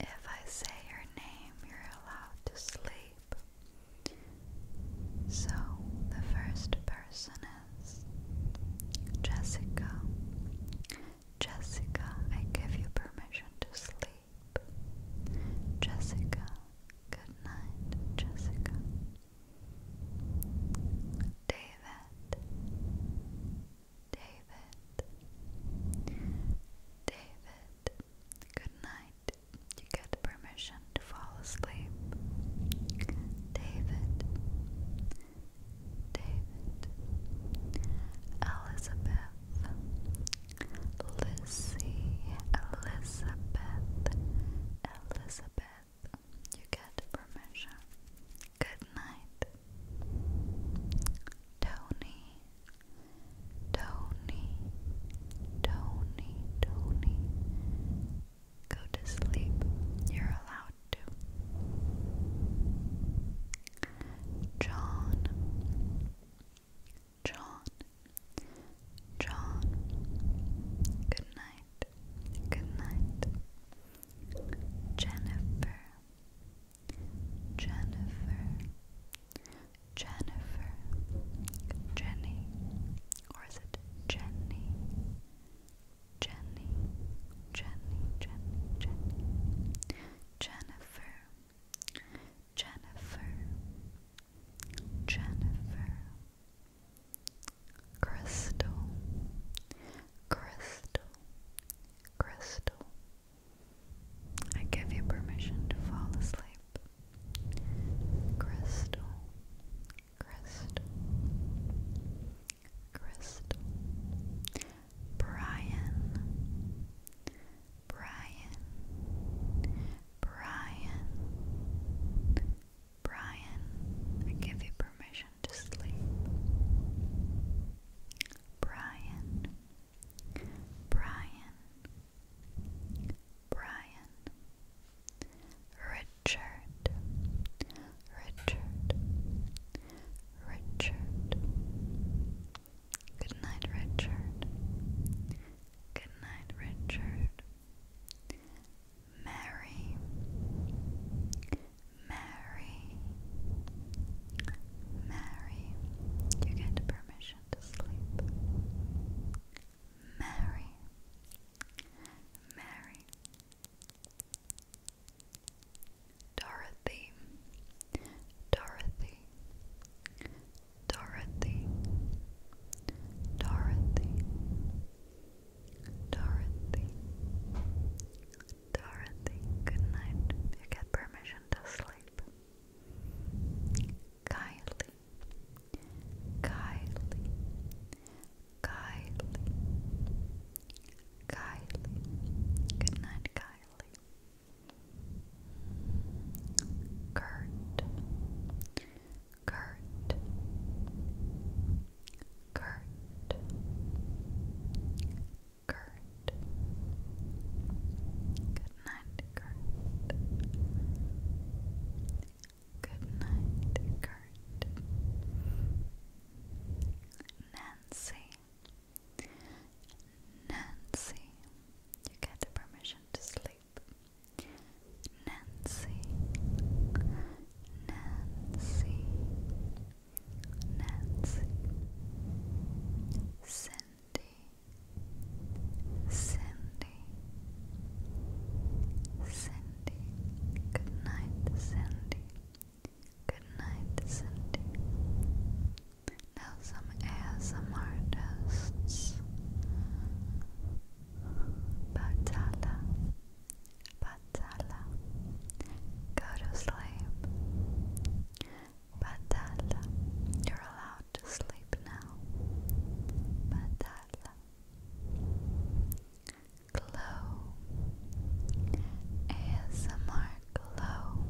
If I say your name, you're allowed to sleep. So the first person is Jessica. Jessica, I give you permission to sleep. Jessica, good night, Jessica. David, David, David, good night. You get permission to fall asleep. David, David, Elizabeth, Lucy, Elizabeth, Elizabeth you get permission. Good night, Tony. Tony, Tony, Tony. Go to sleep. You're allowed to. John, John, John, good night, good night. Jennifer, Jennifer, Jennifer, Jenny, or is it Jenny? Jenny, Jenny, Jenny, Jennifer, Jennifer, Jennifer, Crystal, Crystal, Crystal. I give you permission to fall asleep. Crystal, Crystal, Crystal. Brian, Brian, Brian, Brian, I give you permission to sleep. Brian, Brian, Brian, Richard, Richard, Richard. Good night, Richard. Good night, Richard. Mary, Mary, Mary, you get permission to sleep. Mary, Mary, Dorothy, Dorothy, Dorothy, Dorothy, Dorothy, Dorothy. Good night. You get permission to sleep. Kylie, Kylie, Kylie, Kylie. Good night, Kylie. Kurt, Kurt Kurt Kurt Good night, Kurt Good night, Kurt Nancy Nancy, you get permission to sleep. Nancy, Nancy, Nancy, Cindy, Cindy, Cindy, good night, Cindy, good night, Cindy. Now some ASMR artists Batala, Batala, go to sleep. Batala, you're allowed to sleep now. Batala, glow, ASMR glow,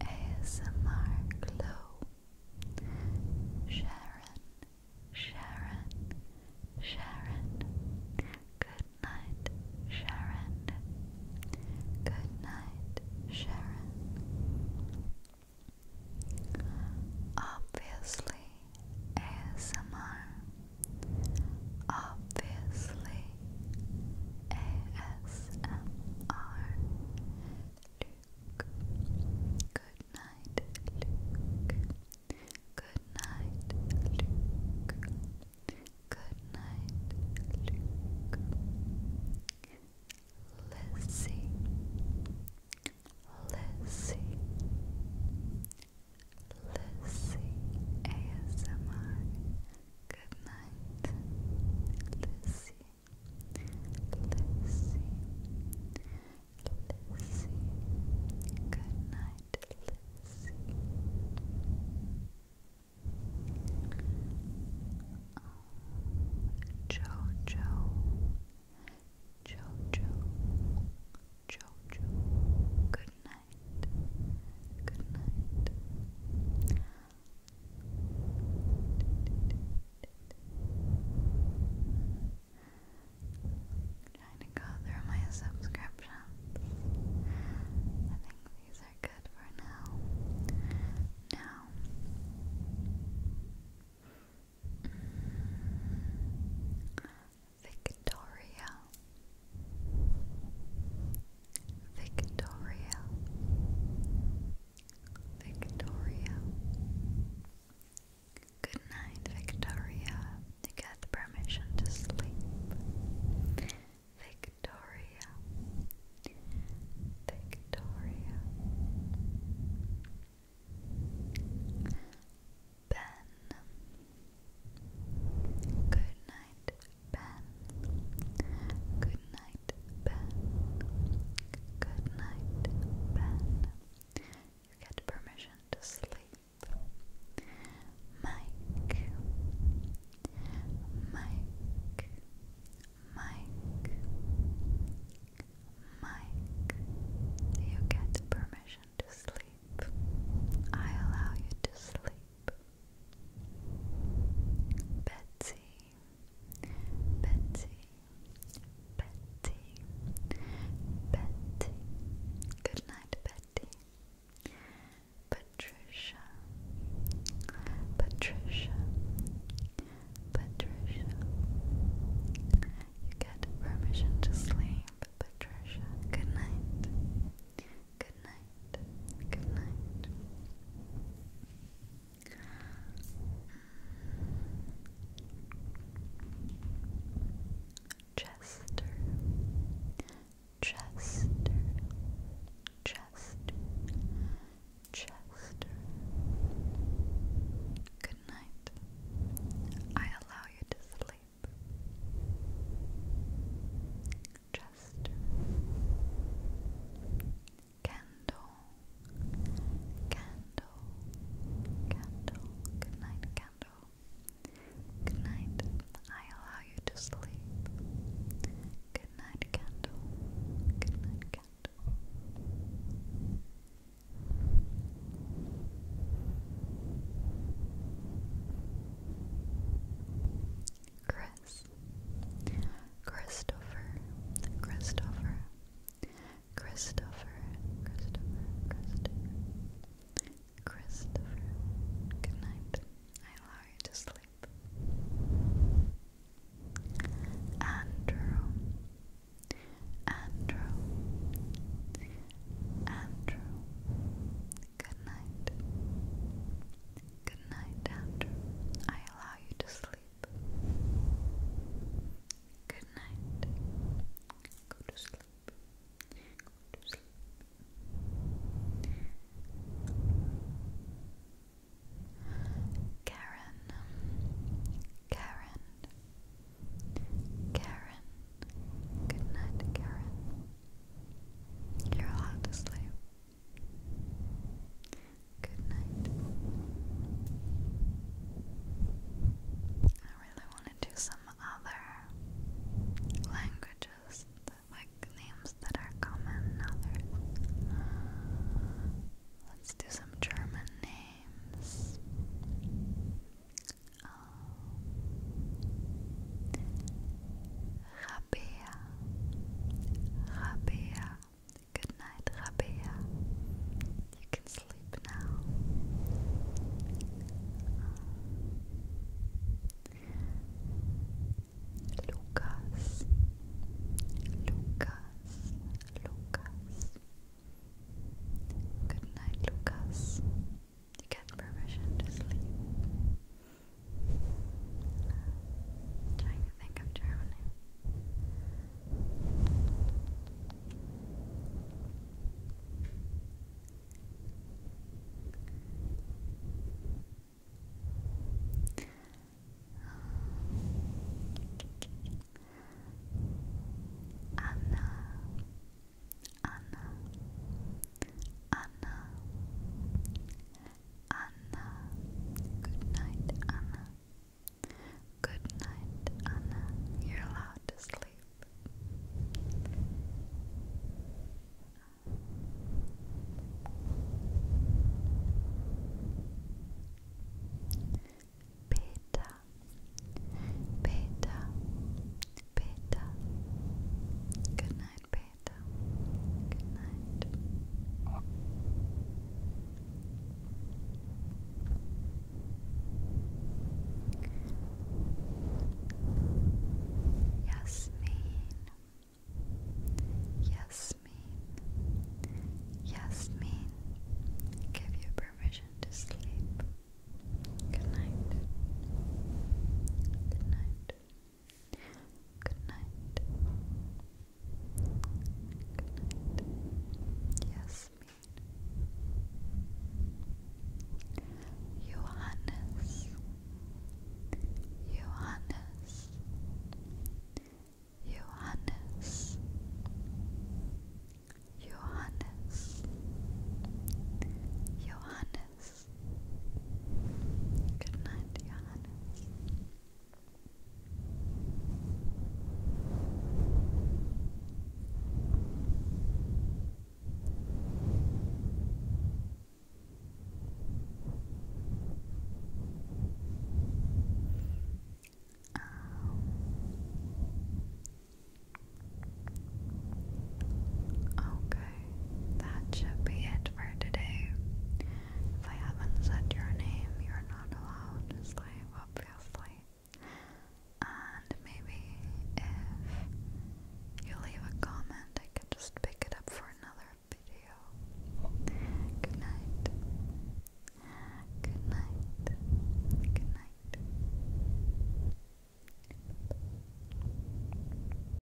ASMR glow. Sharon, Sharon, Sharon. Good night, Sharon. Good night, Sharon. Obviously, ASMR. Obviously, ASMR. Good night, Luke. Good night, Luke. Good night, Luke. Lizzie, Lizzie, Lizzie ASMR. Good night, Lizzie. Lizzie, Lizzie, good night, Lizzie. Jojo, Jojo, Jojo, good night, good night. I'm trying to go my subscriptions. I think these are good for now. Now, Victoria. Victoria Victoria. Good night, Victoria. You get permission to sleep. Victoria. Victoria. Ben. Good night, Ben. Good night night, Ben. Good night, Ben. You get permission to sleep. Mike, Mike, Mike, Mike. You get permission to sleep. I allow you to sleep. Betsy, Betsy, Betty, Betty. Good night, Betty. Patricia, Patricia, Patricia. You get permission to sleep, Patricia. Good night. Good night. Good night. Chester, Chester, Chester, Chester. Good night. I allow you to sleep. Chester candle, candle, candle, good candle, good I allow you to sleep, good candle, good candle. Chris, Christopher, Christopher, Christopher, Christopher, Christopher, Christopher. Good night. I allow you to sleep. Andrew, Andrew, Andrew. Good night. Good night, Andrew. I allow you to sleep. Good night. Go to sleep. Go to sleep. Karen, Karen, Karen. Good night, Karen. You're allowed to sleep. Good night. I really want to do some other languages, like names that are common in Let's do some German names. Um, Rabea, Rabea. Good night, Rabea. You can sleep now. Lucas, Lucas, Lucas. Good night, Lucas. You get permission to sleep. I'm trying to think of Germany. Anna, Anna, Anna, Anna. Good night, Anna. Good night, Anna. You're allowed to sleep. Beta, beta, beta. Good night, Beta. Good night. Yasmin. Yasmin. Yasmin. Give you permission to sleep. Good night. Good night. Good night. Good night. Yes, me. Johannes. Johannes. Johannes. Johannes. Johannes. Good night, Johannes. Um, okay that should be it for today. If I haven't said your name, you're not allowed obviously. And maybe if you leave a comment, I could just pick it up for another video. Good night. Good night. Good night.